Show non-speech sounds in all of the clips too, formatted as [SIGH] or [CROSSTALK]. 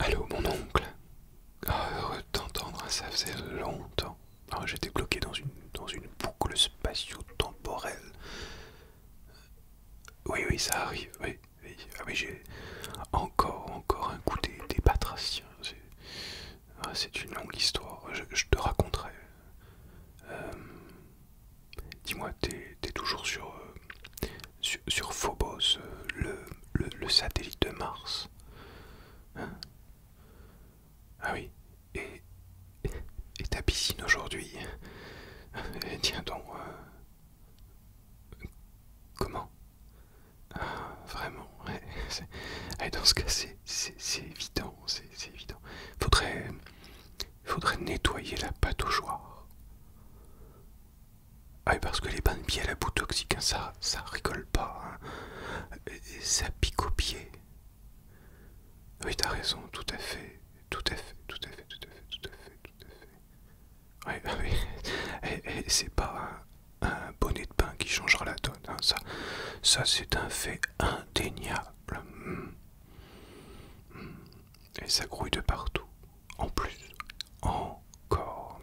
Allô, mon oncle ah, Heureux de t'entendre, ça faisait longtemps. Ah, j'étais bloqué dans une, boucle spatio-temporelle. Oui, oui, ça arrive, oui. oui. Ah oui, j'ai encore, encore un coup des, patraciens. Ah, c'est une longue histoire, je te raconterai euh, dis-moi, t'es toujours sur, euh, sur, Phobos, euh, le, le, satellite de Mars. Hein ah oui, et, et ta piscine aujourd'hui [LAUGHS] eh, Tiens donc. comment ah, Vraiment, [LAUGHS] dans ce cas, c'est évident, c'est évident. Faudrait, il faudrait nettoyer la pâte au joueur. Ah oui, parce que les bains de pied à la boue toxique, hein, ça, ça rigole pas. Hein. ça pique au pied. Oui, t'as raison, tout à fait. Tout à fait, tout à fait, tout à fait, tout à fait, tout ah Oui, oui. [LAUGHS] c'est pas un, bonnet de pain qui changera la donne. Hein. Ça, ça c'est un fait indéniable. Hmm. Et ça grouille de partout. En plus, encore.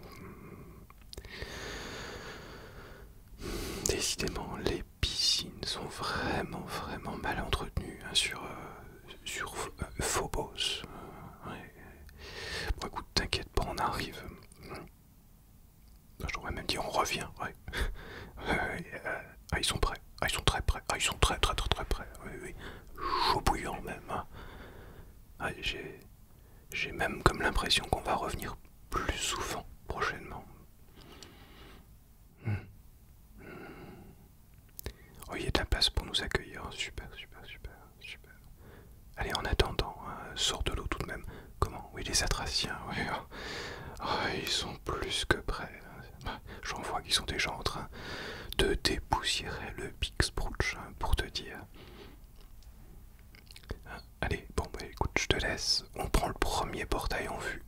Décidément, les piscines sont vraiment, vraiment mal entretenues hein, sur, euh, sur euh, Phobos. Bon, écoute, t'inquiète pas, on arrive. J'aurais même dit on revient. Euh, ah, ils sont prêts. Ah, ils sont très prêts. Ah, ils sont très, très, très, très prêts. Oui, oui. Chaud bouillant, même. Hein. Ah, j'ai même comme l'impression qu'on va revenir plus souvent prochainement. Hmm. Hmm. Oh, il y a de place pour nous accueillir. Super, super, super, super. Allez, en attendant, hein, sort de l'eau tout de même. Comment Oui, les Atraciens, oui. [LAUGHS] Oh, ils sont plus que près, J'en vois qu'ils sont déjà en train de dépoussiérer le Big hein, pour te dire. Hein, allez, bon bah écoute, je te laisse. On prend le premier portail en vue.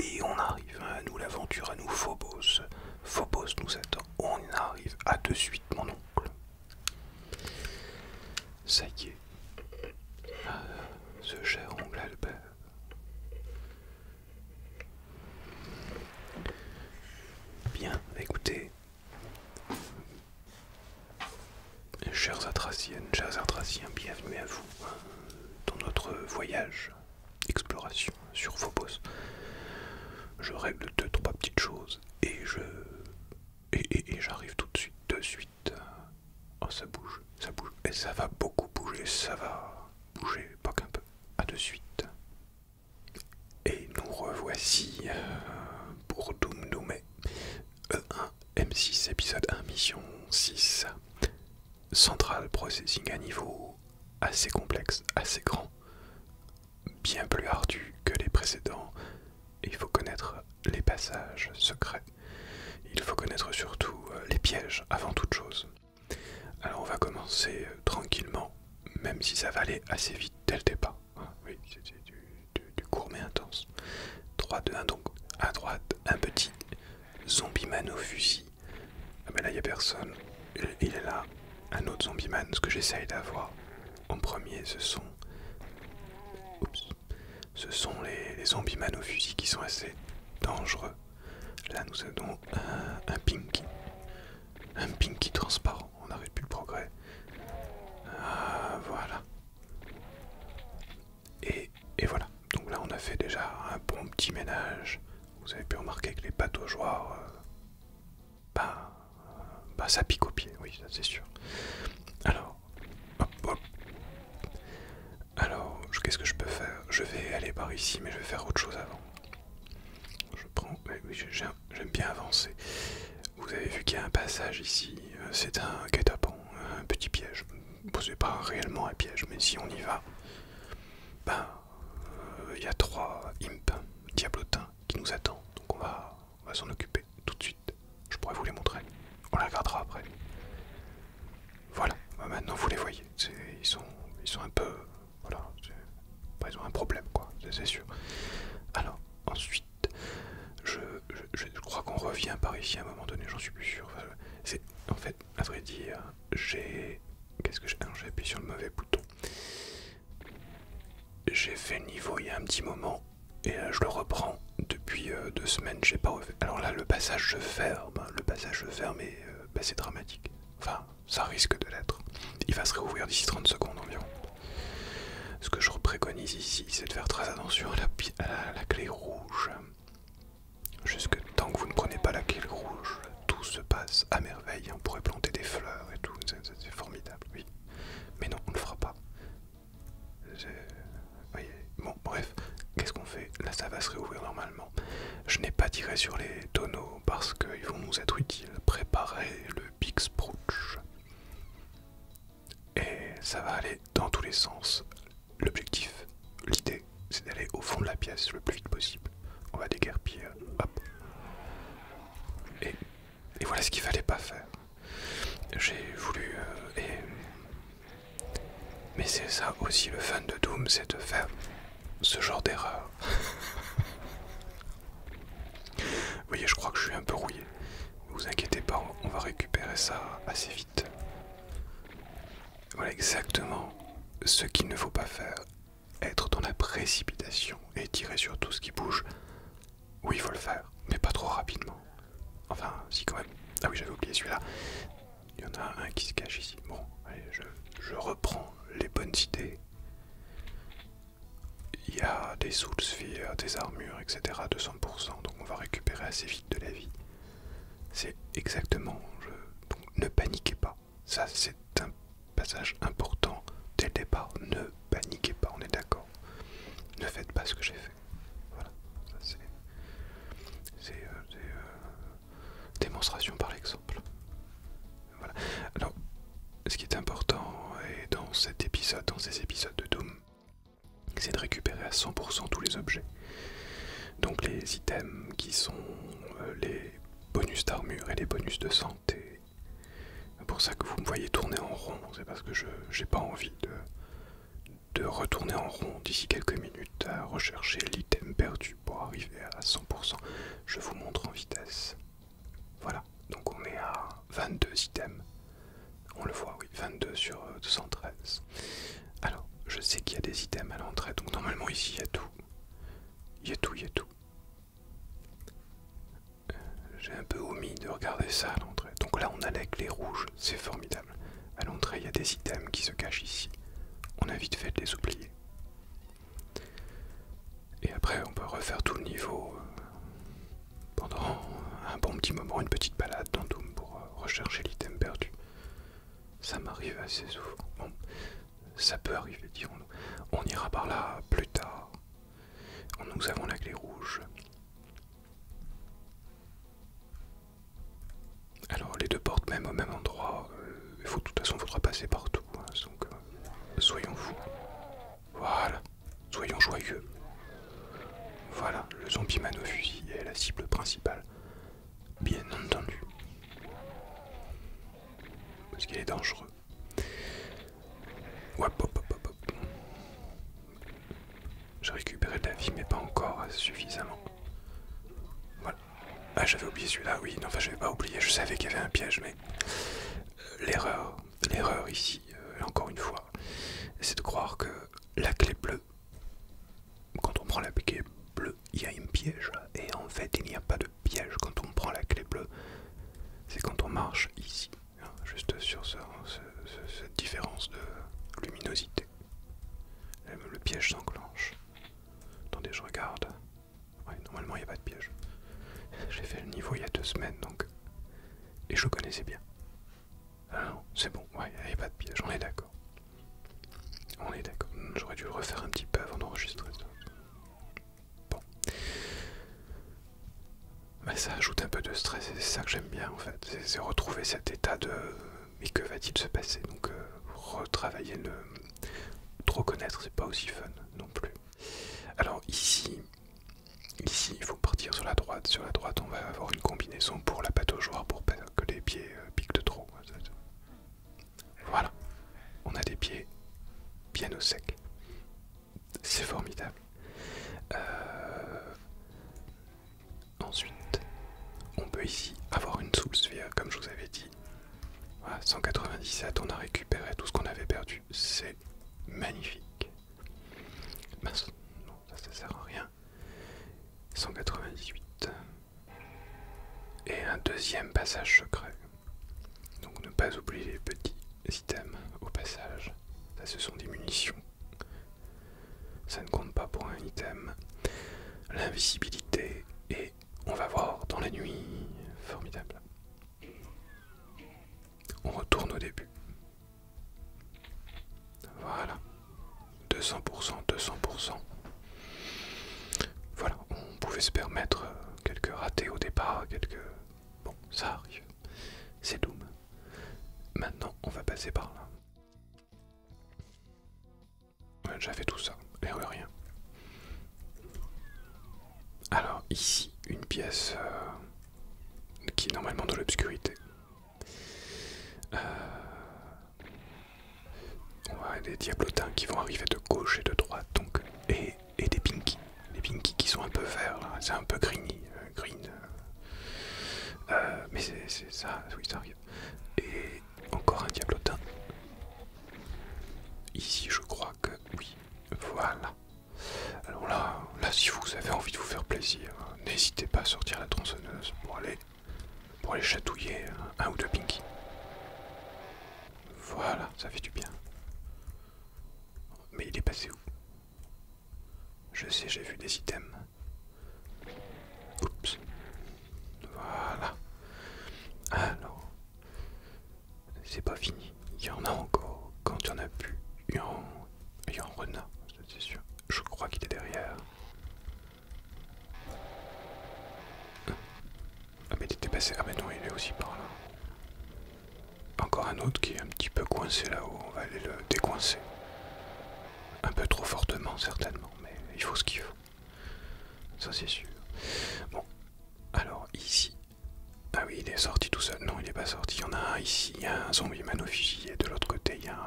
Et on arrive, hein, à nous l'aventure, à nous Phobos. Phobos nous attend. On arrive. À de suite, mon oncle. Ça y est. Ah, ce cher oncle Albert. Bien, écoutez, chers Atraciennes, chers Atraciens, bienvenue à vous hein, dans notre voyage, exploration sur Phobos. Je règle deux, trois petites choses et je. et j'arrive tout de suite, de suite Oh, ça bouge, ça bouge, et ça va beaucoup bouger, ça va bouger, pas qu'un peu. à de suite. Et nous revoici euh, pour Doom DOOMé E1 e M6 épisode 1 mission 6. Central processing à niveau assez complexe, assez grand, bien plus ardu que les précédents. Il faut connaître les passages secrets il faut connaître surtout euh, les pièges avant toute chose. Alors on va commencer euh, tranquillement, même si ça va aller assez vite dès le départ. Hein. oui, c'était du, court mais intense. 3, 2, 1 donc. À droite, un petit zombie man au fusil. Ah ben là, il n'y a personne. Il, est là. Un autre zombie man. Ce que j'essaye d'avoir en premier, ce sont... Oups ce sont les, zombies man qui sont assez dangereux. Là, nous avons un, pinky. Un pinky transparent. On n'arrête plus le progrès. Ah, voilà. Et, voilà. Donc là, on a fait déjà un bon petit ménage. Vous avez pu remarquer que les bateaux joueurs, euh, bah, euh, bah, ça pique au pied, oui, c'est sûr. Alors, alors, qu'est-ce que je peux faire Je vais aller par ici, mais je vais faire autre chose avant. Je prends... j'aime bien avancer. Vous avez vu qu'il y a un passage ici. Euh, c'est un guet un petit piège. posez posez pas réellement un piège, mais si on y va... Ben, euh, il y a trois imps, diablotins, qui nous attendent. Donc on va, on va s'en occuper tout de suite. Je pourrais vous les montrer on la gardera après. Voilà, bah, maintenant vous les voyez, ils sont, ils sont un peu... Voilà, bah, ils ont un problème quoi, c'est sûr. Alors, ensuite, je, crois qu'on revient par ici à un moment donné, j'en suis plus sûr. c'est en fait, à vrai dire, j'ai... Qu'est-ce que j'ai J'ai appuyé sur le mauvais bouton. J'ai fait le niveau il y a un petit moment, et euh, je le reprends depuis euh, deux semaines, j'ai pas revu... Alors là, le passage ferme, le passage se ferme est euh, bah, c'est dramatique. Enfin, ça risque de l'être. Il va se réouvrir d'ici 30 secondes environ. Ce que je préconise ici, c'est de faire très attention à la, la clé rouge. Jusque tant que vous ne prenez pas la clé rouge, tout se passe à merveille. On pourrait planter des fleurs et tout, c'est formidable, oui. Mais non, on ne le fera pas. Bon, bref, qu'est-ce qu'on fait Là, ça va se réouvrir normalement. Je n'ai pas tiré sur les tonneaux parce qu'ils vont nous être utiles. Préparer le Big Sprouch. Et ça va aller dans tous les sens. L'objectif, l'idée, c'est d'aller au fond de la pièce le plus vite possible. On va déguerpir, hop. Et, voilà ce qu'il fallait pas faire. J'ai voulu... Euh, mais c'est ça aussi le fun de Doom, c'est de faire ce genre d'erreur. Vous voyez, je crois que je suis un peu rouillé. vous inquiétez pas, on va récupérer ça assez vite. Voilà exactement ce qu'il ne faut pas faire. Être dans la précipitation et tirer sur tout ce qui bouge. Oui, il faut le faire, mais pas trop rapidement. Enfin, si quand même. Ah oui, j'avais oublié celui-là. Il y en a un qui se cache ici. Bon, je, reprends les bonnes idées. Il y a des soulspheres, des armures, etc. 200%, donc on va récupérer assez vite de la vie. C'est exactement. ne paniquez pas. Ça, c'est un passage important dès le départ. Ne paniquez pas, on est d'accord. Ne faites pas ce que j'ai fait. Voilà, ça c'est. C'est euh, euh, démonstration par exemple. Voilà. Alors, ce qui est important dans cet épisode, dans ces épisodes de Doom, c'est de récupérer à 100% tous les objets. Donc les items qui sont euh, les bonus d'armure et les bonus de santé. C'est pour ça que vous me voyez tourner en rond, c'est parce que je j'ai pas envie de de retourner en rond d'ici quelques minutes à rechercher l'item perdu pour arriver à 100%. Je vous montre en vitesse. Voilà, donc on est à 22 items. On le voit, oui, 22 sur 213. Euh, Alors, je sais qu'il y a des items à l'entrée, donc normalement ici il y a tout. Il y a tout, il y a tout. Euh, j'ai un peu omis de regarder ça à l'entrée. Donc là, on a les clé rouges. c'est formidable. À l'entrée, il y a des items qui se cachent ici. On a vite fait de les oublier. Et après, on peut refaire tout le niveau euh, pendant un bon petit moment, une petite balade dans Doom pour euh, rechercher l'item perdu. Ça m'arrive assez souvent. Bon, ça peut arriver, dirons-nous. On ira par là plus tard. Nous avons la clé rouge. Alors les deux portes même au même endroit. Euh, il faut de toute façon faudra passer partout. Hein, donc euh, soyons fous. Voilà. Soyons joyeux. Voilà, le zombie man au fusil est la cible principale. Bien entendu. Parce qu'il est dangereux. Hop, hop, hop, hop. J'ai récupéré de la vie, mais pas encore suffisamment. Voilà. Ah, j'avais oublié celui-là, oui. Non, enfin, j'avais pas oublié. Je savais qu'il y avait un piège, mais euh, l'erreur, l'erreur ici, euh, encore une fois, c'est de croire que la clé bleue, quand on prend la clé bleue, il y a un piège. Et en fait, il n'y a pas de piège quand on prend la clé bleue. C'est quand on marche ici, hein, juste sur cette différence de luminosité le piège s'enclenche. Attendez, je regarde. Ouais, normalement, il n'y a pas de piège. [LAUGHS] J'ai fait le niveau il y a deux semaines, donc... Et je connaissais bien. Ah non, c'est bon, ouais, il n'y a pas de piège, on est d'accord. On est d'accord. Hmm, j'aurais dû le refaire un petit peu avant d'enregistrer ça. Bon. Mais bah, ça ajoute un peu de stress et c'est ça que j'aime bien en fait. C'est retrouver cet état de mais que va-t-il se passer Donc, euh, retravailler le. Trop connaître, c'est pas aussi fun non plus. Alors, ici, ici, il faut partir sur la droite. Sur la droite, on va avoir une combinaison pour la pâte au joueur pour pas que les pieds euh, piquent de trop. Voilà, on a des pieds bien au sec. C'est formidable. Euh, Ensuite, on peut ici avoir une sous comme je vous avais dit. Voilà, 197, on a récupéré tout ce qu'on avait perdu. C'est magnifique. Mince, non, ça, ne sert à rien. 198. Et un deuxième passage secret. Donc ne pas oublier les petits items au passage. Ça, ce sont des munitions ça ne compte pas pour un item. L'invisibilité et on va voir dans la nuit. Formidable. On retourne au début. Voilà. 200%, 200%. Voilà, on pouvait se permettre euh, quelques ratés au départ, quelques... Bon, ça arrive. C'est Doom. Maintenant, on va passer par là. On a déjà fait tout ça, Erreur rien. Alors ici, une pièce euh, qui est normalement dans l'obscurité. Euh, on des diablotins qui vont arriver de gauche et de droite, donc, et, des pinkies. Les pinkies qui sont un peu verts, c'est un peu greeny, euh, green, euh, mais c'est ça, oui, ça arrive. Et encore un diablotin. Ici, je crois que oui. Voilà. Alors là, là, si vous avez envie de vous faire plaisir, n'hésitez pas à sortir la tronçonneuse pour aller, pour aller chatouiller un ou deux pinkies. Voilà, ça fait du bien. Mais il est passé où je sais, j'ai vu des items. Oups. Voilà. Alors, c'est pas fini. Il y en a encore. Quand il y en a plus, il y en, y c'est sûr. Je crois qu'il était derrière. Ah mais il était passé. Ah mais non, il est aussi par là. Encore un autre qui est un petit peu coincé là-haut. On va aller le décoincer. Un peu trop fortement, certainement, mais il faut ce qu'il faut. Ça, c'est sûr. Bon, alors ici. Ah oui, il est sorti tout seul. Non, il n'est pas sorti. Il y en a un ici. Il y a un zombie mano-fusil et de l'autre côté, il y, a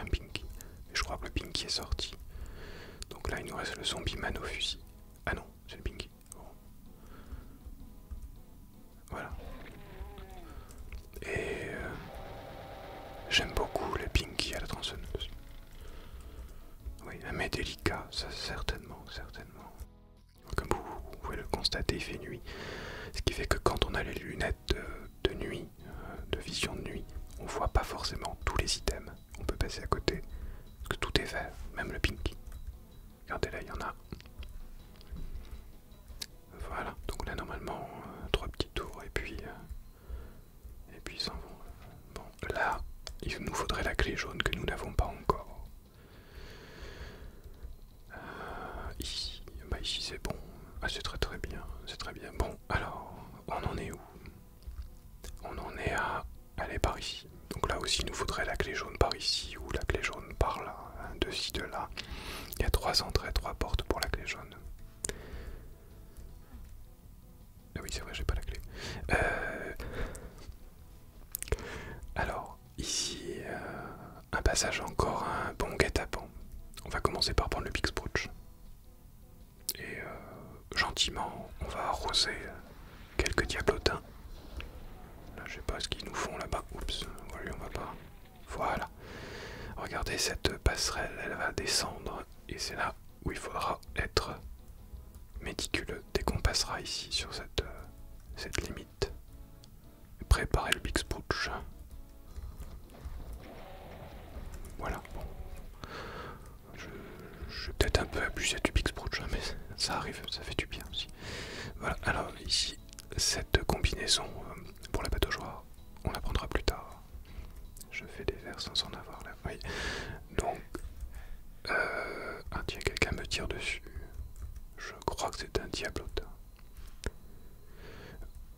un... pinky. je crois que le pinky est sorti. Donc là, il nous reste le zombie manofusil. Ah non, c'est le pinky. Voilà. Et euh, j'aime beaucoup le pinky à la tronçonneuse. Oui, mais délicat, ça certainement, certainement. Comme vous, pouvez le constater, il fait nuit. Ce qui fait que quand on a les lunettes euh, de, nuit, euh, de vision de nuit, on voit pas forcément tous les items. On peut passer à côté, parce que tout est vert, même le pinky. Regardez là, il y en a. Voilà, donc là normalement euh, trois petits tours et puis euh, et puis ils s'en vont. Bon, là, il nous faudrait la clé jaune que nous n'avons pas encore. Euh, ici, bah, ici c'est bon. Ah, c'est très très bien, c'est très bien. Bon, alors, on en est où On en est à aller par ici. Donc là aussi, il nous faudrait la clé jaune par ici ou la clé jaune par là, hein, de ci de là. Il y a trois entrées, trois portes pour la clé jaune. Ah oui, c'est vrai, j'ai pas la clé. Euh, alors, ici, euh, un passage encore, un bon guet-apens. On va commencer par prendre le Big Et euh, gentiment, on va arroser quelques diablotins. Là, je sais pas ce qu'ils nous font là-bas. Oups, on va pas. Voilà. Regardez cette passerelle, elle va descendre et c'est là où il faudra être méticuleux dès qu'on passera ici sur cette, euh, limite. Préparer le Big Voilà, bon. Je, vais peut-être un peu abusé du Big hein, mais ça arrive, ça fait du bien aussi. Voilà, alors ici, cette combinaison euh, pour la pataugeoire on apprendra plus tard. Je fais des vers sans en avoir là. Donc, euh, un quelqu'un me tire dessus. Je crois que c'est un diablotin.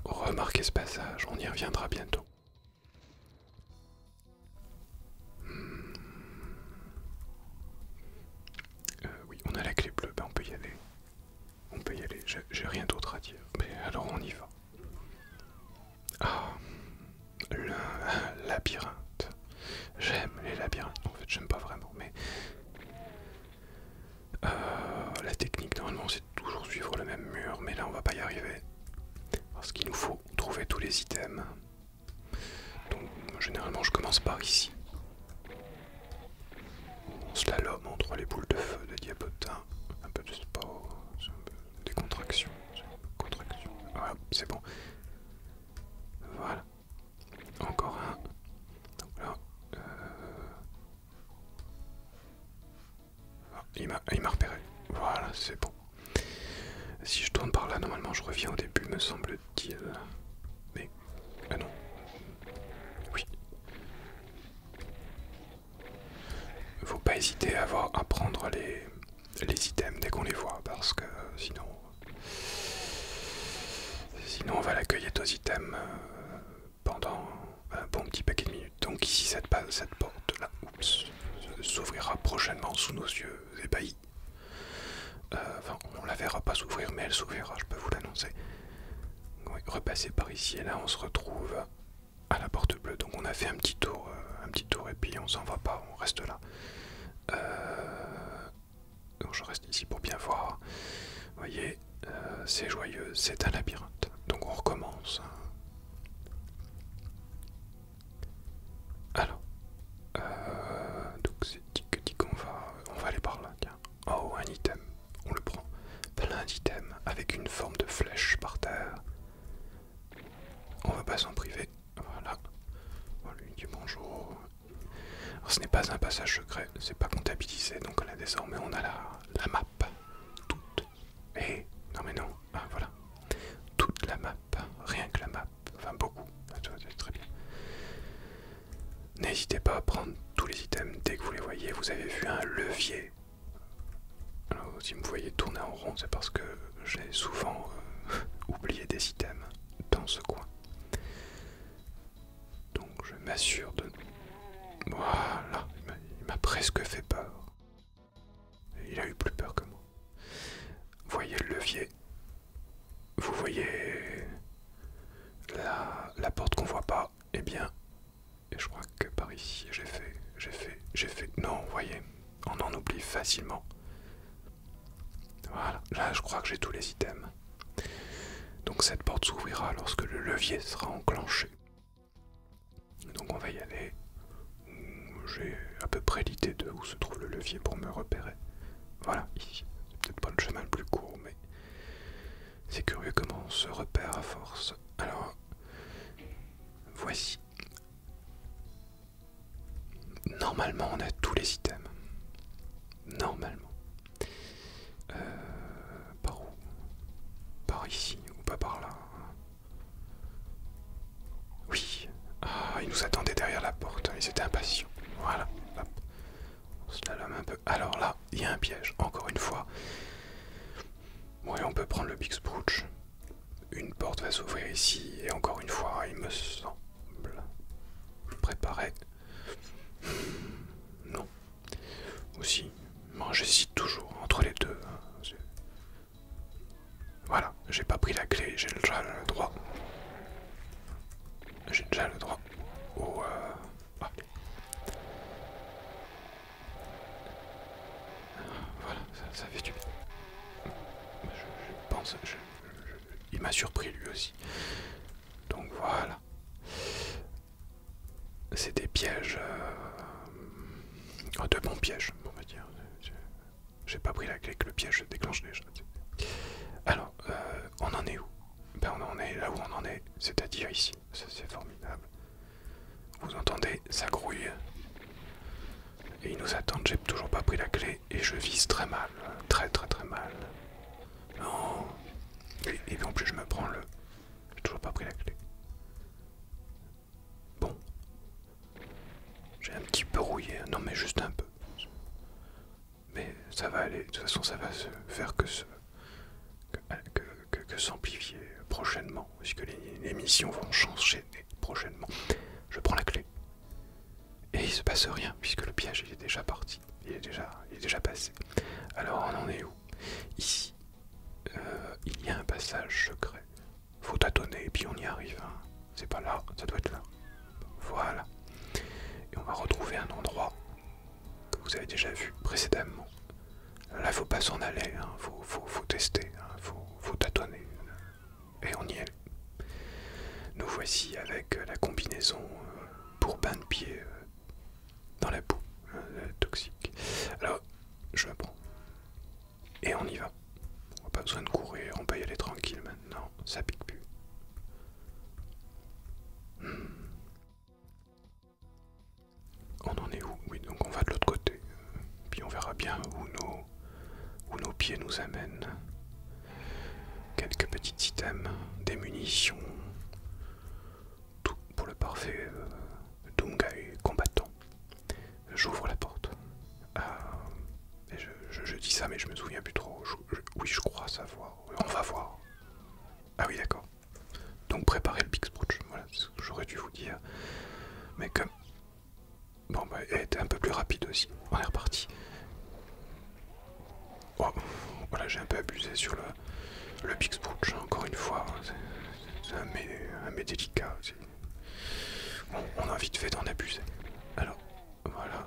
Remarquez ce passage, on y reviendra bientôt. Hmm. Euh, oui, on a la clé bleue, ben, on peut y aller. On peut y aller, j'ai rien d'autre à dire. Mais alors on y va. Ah, le labyrinthe. J'aime les labyrinthes. En fait, j'aime pas vraiment, mais euh, la technique normalement c'est toujours suivre le même mur, mais là on va pas y arriver parce qu'il nous faut trouver tous les items. Donc généralement je commence par ici. Slalom entre les boules de feu de diapotin. Un peu de sport, des contractions. Ah, c'est bon. Voilà. Encore un. Euh, ah, il m'a repéré. Voilà, c'est bon. Si je tourne par là, normalement je reviens au début, me semble-t-il. Mais ah non. Oui. Faut pas hésiter à, à prendre les, items dès qu'on les voit, parce que euh, sinon... Sinon on va l'accueillir aux items euh, pendant un bon petit paquet de minutes. Donc ici cette, cette porte là s'ouvrira prochainement sous nos yeux ébahis. Euh, enfin on la verra pas s'ouvrir mais elle s'ouvrira, je peux vous l'annoncer repasser par ici et là on se retrouve à la porte bleue donc on a fait un petit tour euh, un petit tour et puis on s'en va pas on reste là euh, donc je reste ici pour bien voir vous voyez euh, c'est joyeux c'est un labyrinthe donc on recommence hein. alors donc c'est tic dit qu'on va on va aller par là Oh, un item. On le prend. Plein d'items avec une forme de flèche par terre. On va pas s'en priver. Voilà. On oh, lui dit bonjour. ce n'est pas un passage secret, c'est pas comptabilisé, donc là désormais on a la, la map. Toute. Et eh, non mais non, ah, voilà. Toute la map, rien que la map, enfin beaucoup. très bien. N'hésitez pas à prendre tous les items dès que vous les voyez. Vous avez vu un levier. Alors, si vous me voyez tourner en rond, c'est parce que j'ai souvent euh, [LAUGHS] oublié des items dans ce coin. Donc, je m'assure de. Voilà, il m'a presque fait peur. Il a eu plus peur que moi. Voyez le levier. Vous voyez la, la porte qu'on voit pas ah, eh bien, et je crois que par ici, j'ai fait, j'ai fait, j'ai fait. Non, vous voyez, on en oublie facilement. Voilà, là, je crois que j'ai tous les items. Donc cette porte s'ouvrira lorsque le levier sera enclenché. Donc on va y aller. J'ai à peu près l'idée de où se trouve le levier pour me repérer. Voilà, ici. C'est peut-être pas le chemin le plus court, mais c'est curieux comment on se repère à force. Alors, voici. Normalement, on a tous les items. Normalement. Euh, par où Par ici ou pas par là Oui. Ah, ils nous attendaient derrière la porte. Ils hein, étaient impatients. Voilà. Hop. On se la un peu. Alors là, il y a un piège, encore une fois. Bon, on peut prendre le Big Spooch. Une porte va s'ouvrir ici, et encore une fois, il me semble. préparer, hmm, Non. Aussi. Moi, j'hésite toujours entre les deux. Hein. Voilà, j'ai pas pris la clé, j'ai déjà le droit. J'ai déjà le droit au. Euh, ah, voilà, ça, fait du Je, pense, il m'a surpris lui aussi. Donc voilà. C'est des pièges... Euh, de bons pièges, on va dire. J'ai pas pris la clé que le piège déclenche déjà. Alors, euh, on en est où ben on en est là où on en est, c'est-à-dire ici. C'est formidable. Vous entendez, ça grouille. Et ils nous attendent, j'ai toujours pas pris la clé et je vise très mal, très très très mal. Non. Oh. Et, et puis en plus je me prends le... J'ai toujours pas pris la clé. Bon. J'ai un petit peu rouillé, non mais juste un peu. Mais ça va aller, de toute façon ça va se faire que que, s'amplifier prochainement, puisque les, les missions vont changer prochainement. Je prends la clé. Et il se passe rien, puisque le piège il est déjà parti, il est déjà, est déjà passé. Alors on en est où Ici, euh, il y a un passage secret. Faut tâtonner et puis on y arrive. Hein. C'est pas là, ça doit être là. Voilà. Et on va retrouver un endroit que vous avez déjà vu précédemment. Là, faut pas s'en aller, hein. faut, tester, hein. faut, tâtonner. Et on y est. Nous voici avec euh, la combinaison euh, pour bain de pied euh, dans la boue hein, toxique. Alors, je la prends. Et on y va. On n'a pas besoin de courir, on peut y aller tranquille maintenant, ça pique plus. Hmm. On en est où Oui, donc on va de l'autre côté. Euh, puis on verra bien où nos, où nos pieds nous amènent. Quelques petits items, des munitions. Tout pour le parfait euh, combattant. J'ouvre la porte. Ah, je, dis ça, mais je me souviens plus trop. oui, je crois savoir. On va voir. Ah oui, d'accord. Donc préparez le Big Brooch, voilà, c'est ce que j'aurais dû vous dire. Mais comme... Bon, bah, elle était un peu plus rapide aussi. On est reparti. Oh, voilà, j'ai un peu abusé sur le, le Big hein, encore une fois. Hein. C'est un mais, un mais délicat. Bon, on a vite fait d'en abuser. Alors, voilà.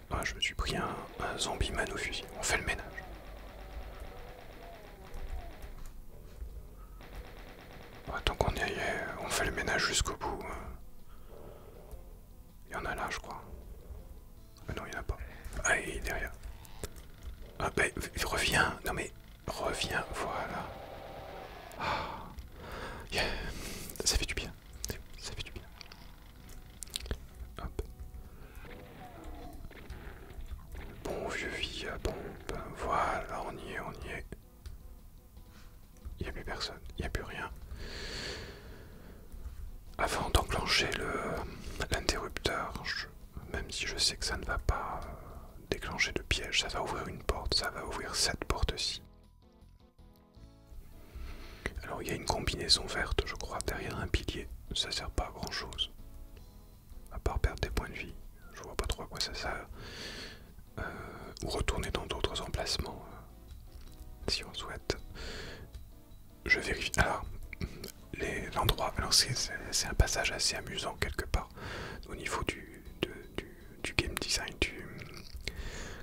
Ah, je me suis pris un, zombie man au fusil. On fait le ménage. Bah, qu'on y aille, on fait le ménage jusqu'au bout. Hein. Il y en a là, je crois. Ah non, il n'y en a pas. Ah, il est derrière. Ah, bah, reviens. Non, mais reviens. Voilà. Ah, Ça fait du bien. Ça fait du bien. Bon vieux bon voilà, on y est, on y est. Il n'y a plus personne, il n'y a plus rien. Avant d'enclencher l'interrupteur, même si je sais que ça ne va pas euh, déclencher de piège, ça va ouvrir une porte, ça va ouvrir cette porte-ci. Alors il y a une combinaison verte, je crois, derrière un pilier. Ça sert pas à grand chose. À part perdre des points de vie. Je vois pas trop à quoi ça sert. Euh, ou retourner dans d'autres emplacements. Euh, si on souhaite. Je vérifie. Alors, l'endroit. c'est un passage assez amusant quelque part. Au niveau du, du, du game design, du.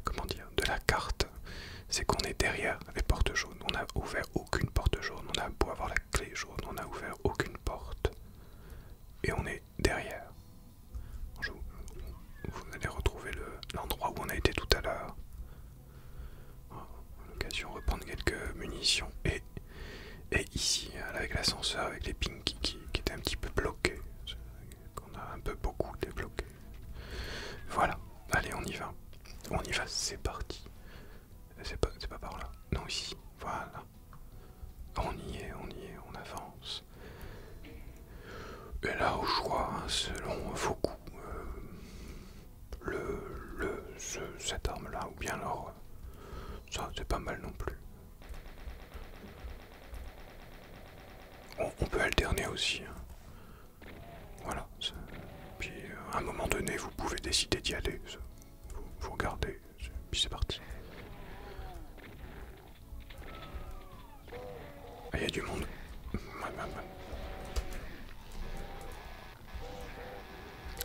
Comment dire De la carte c'est qu'on est derrière les portes jaunes. On n'a ouvert aucune porte jaune. On a beau avoir la clé jaune, on n'a ouvert aucune porte. Et on est derrière. vous, allez retrouver l'endroit où on a été tout à l'heure. L'occasion de reprendre quelques munitions. Et, ici, hein, avec l'ascenseur, avec les pinkies qui, qui étaient un petit peu bloqués. Qu'on a un peu beaucoup débloqué. Voilà, allez on y va. On y va, c'est parti. C'est pas, pas par là. Non, ici. Voilà. On y est, on y est, on avance. Et là, au crois, hein, selon vos coups, euh, le, cette arme-là, ou bien l'or, ça, c'est pas mal non plus. On, peut alterner aussi. Hein. Voilà. Puis euh, à un moment donné, vous pouvez décider d'y aller. Vous, vous regardez. Puis c'est parti. Ah, il y a du monde.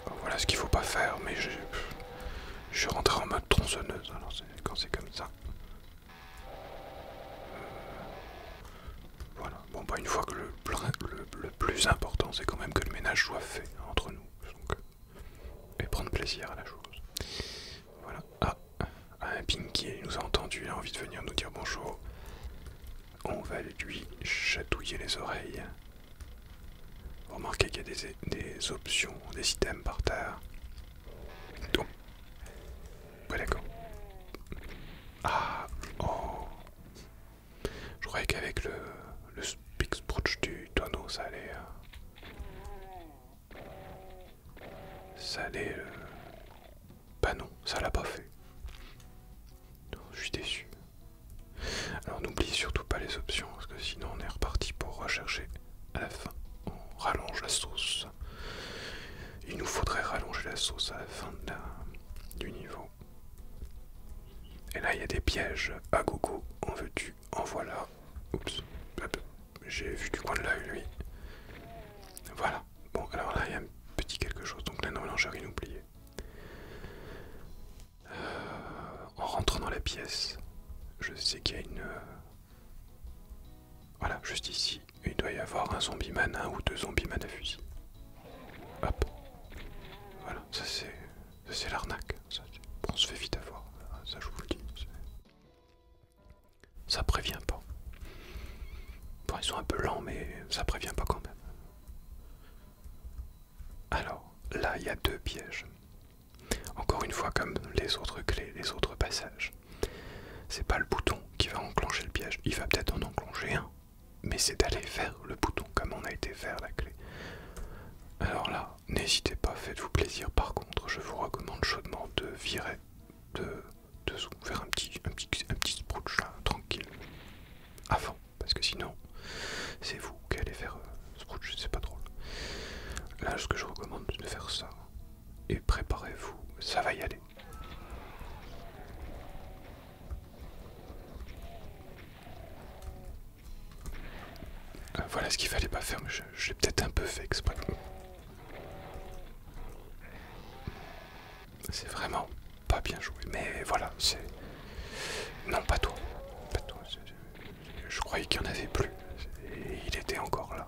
Oh, voilà ce qu'il faut pas faire, mais je, je suis rentré en mode tronçonneuse alors quand c'est comme ça. Euh, voilà. Bon pas bah, une fois que le, le, plus important c'est quand même que le ménage soit fait entre nous. Euh, et prendre plaisir à la chose. Voilà. Ah, ah un pinky, qui nous a entendu, il a envie de venir nous dire bonjour. On va lui chatouiller les oreilles. Remarquez qu'il y a des, des options, des items par terre. Donc, Ouais, d'accord. Ah, oh. Je croyais qu'avec le, le Big du tonneau, ça allait. Euh, ça allait. Euh, bah non, ça l'a pas fait. Je suis déçu. Alors n'oublie surtout pas les options, parce que sinon on est reparti pour rechercher à la fin. On rallonge la sauce. Il nous faudrait rallonger la sauce à la fin de la du niveau. Et là, il y a des pièges à ah, gogo. En veux-tu En voilà. Oups. J'ai vu du coin de l'œil, lui. Voilà. Bon, alors là, il y a un petit quelque chose. Donc la j'ai rien oublié. Euh, en rentrant dans la pièce, je sais qu'il y a une... Euh, voilà, juste ici, il doit y avoir un zombie man, un ou deux zombies man à fusil. Hop. Voilà, ça c'est l'arnaque. On se fait vite avoir, ça je vous le dis. Ça prévient pas. Bon, ils sont un peu lents, mais ça prévient pas quand même. Alors, là, il y a deux pièges. Encore une fois, comme les autres clés, les autres passages. C'est pas le bouton qui va enclencher le piège. Il va peut-être en enclencher un, mais c'est d'aller vers le bouton comme on a été vers la clé. Alors là, n'hésitez pas, faites-vous plaisir. Par contre, je vous recommande chaudement de virer de dessous faire un petit, un petit, un petit là, tranquille, avant, parce que sinon, c'est vous qui allez faire euh, c'est pas drôle. Là, ce que je recommande, c'est de faire ça et préparez-vous, ça va y aller. Euh, voilà ce qu'il fallait pas faire, mais je, l'ai peut-être un peu fait exprès. C'est vraiment pas bien joué, mais voilà, c'est... Non, pas toi. Pas Je croyais qu'il n'y en avait plus. Et il était encore là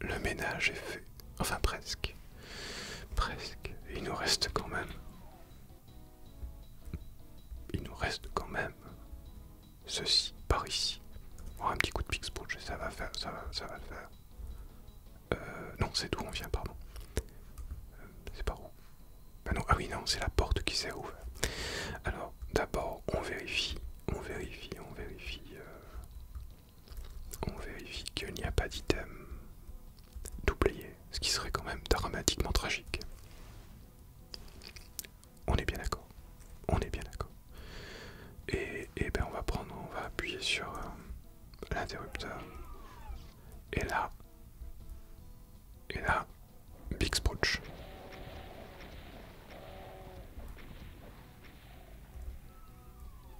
le ménage est fait. Enfin presque. Presque. Il nous reste quand même. Il nous reste quand même ceci par ici. avoir oh, un petit coup de pixel, ça va faire, ça va, ça va le faire. Euh, non, c'est d'où on vient, pardon. Euh, c'est par où ah non, Ah oui, non, c'est la porte qui s'est ouverte. Alors, d'abord, on vérifie, on vérifie, on vérifie. Euh, on vérifie qu'il n'y a pas d'item doublié, ce qui serait quand même dramatiquement tragique. On est bien d'accord. On est bien d'accord. Et, ben on va prendre, on va appuyer sur euh, l'interrupteur. Et là, et là, Big Sproutch.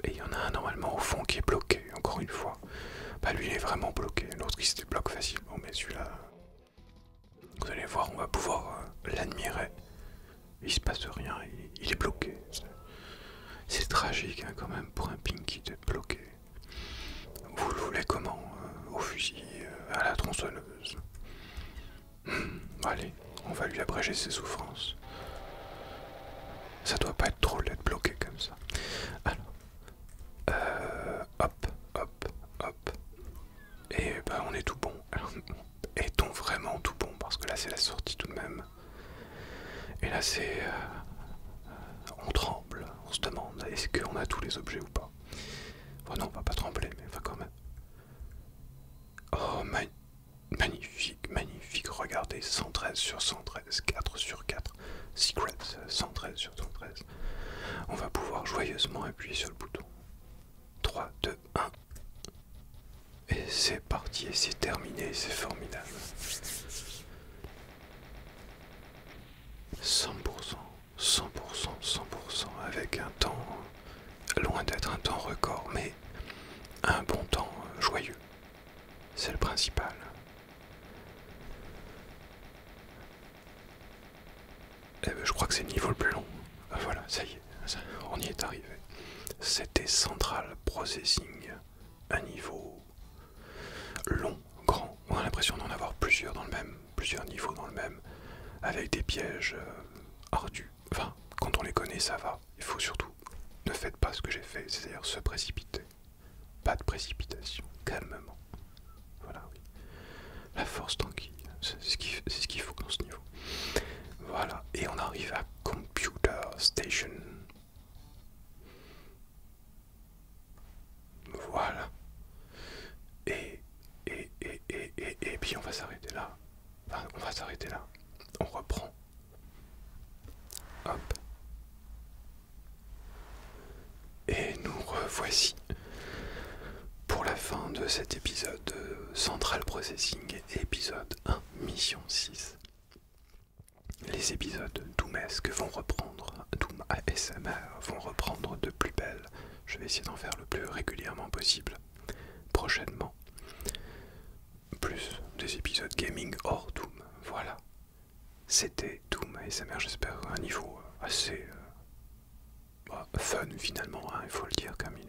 Et il y en a un normalement au fond qui est bloqué, encore une fois. Bah lui il est vraiment bloqué, l'autre il se débloque facilement, mais celui-là... Vous allez voir, on va pouvoir euh, l'admirer. Il se passe rien, il, est bloqué. C'est tragique hein, quand même pour un Pinky d'être bloqué. Vous le voulez comment euh, Au fusil, euh, à la tronçonneuse Allez, on va lui abréger ses souffrances. Ça doit pas être drôle d'être bloqué comme ça. Alors, euh, hop, hop, hop. Et ben, on est tout bon. [LAUGHS] est-on vraiment tout bon Parce que là c'est la sortie tout de même. Et là c'est... Euh, on tremble, on se demande est-ce qu'on a tous les objets ou pas. Bon non, on va pas trembler, mais enfin quand même. Oh my Magnifique, magnifique, regardez, 113 sur 113, 4 sur 4, Secrets, 113 sur 113. On va pouvoir joyeusement appuyer sur le bouton. 3, 2, 1. Et c'est parti, c'est terminé, c'est formidable. 100%, 100%, 100%, avec un temps Loin d'être un temps record, mais un bon temps euh, joyeux. C'est le principal. Eh ben, je crois que c'est le niveau le plus long. Ah, voilà, ça y est, on y est arrivé. C'était Central Processing, un niveau long, grand. On a l'impression d'en avoir plusieurs dans le même, plusieurs niveaux dans le même, avec des pièges euh, ardus. Enfin, quand on les connaît, ça va. Il faut surtout ne faites pas ce que j'ai fait, c'est-à-dire se précipiter. Pas de précipitation, calmement. Voilà, oui. La force tranquille, c'est ce qu'il faut dans ce niveau. Voilà, et on arrive à Computer Station. Voilà. Et, et, et, et, et, et puis on va s'arrêter là. Bah, on va s'arrêter là. On reprend. Hop. Et nous revoici pour la fin de cet épisode de Central Processing, épisode 1, mission 6. Les épisodes Doomesque vont reprendre, Doom ASMR vont reprendre de plus belle. Je vais essayer d'en faire le plus régulièrement possible prochainement. Plus des épisodes gaming hors Doom. Voilà. C'était Doom et ça mère, j'espère, un niveau assez euh, bah, fun finalement, hein, il faut le dire, comme euh,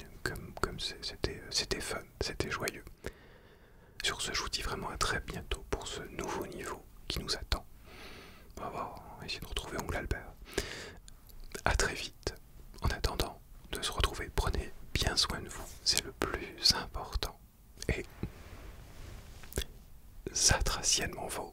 c'était fun, c'était joyeux. Sur ce, je vous dis vraiment à très bientôt pour ce nouveau niveau qui nous attend. On va on essayer de retrouver ongle Albert. à très vite en attendant de se retrouver, prenez bien soin de vous, c'est le plus important. Et satraciennement vôtre.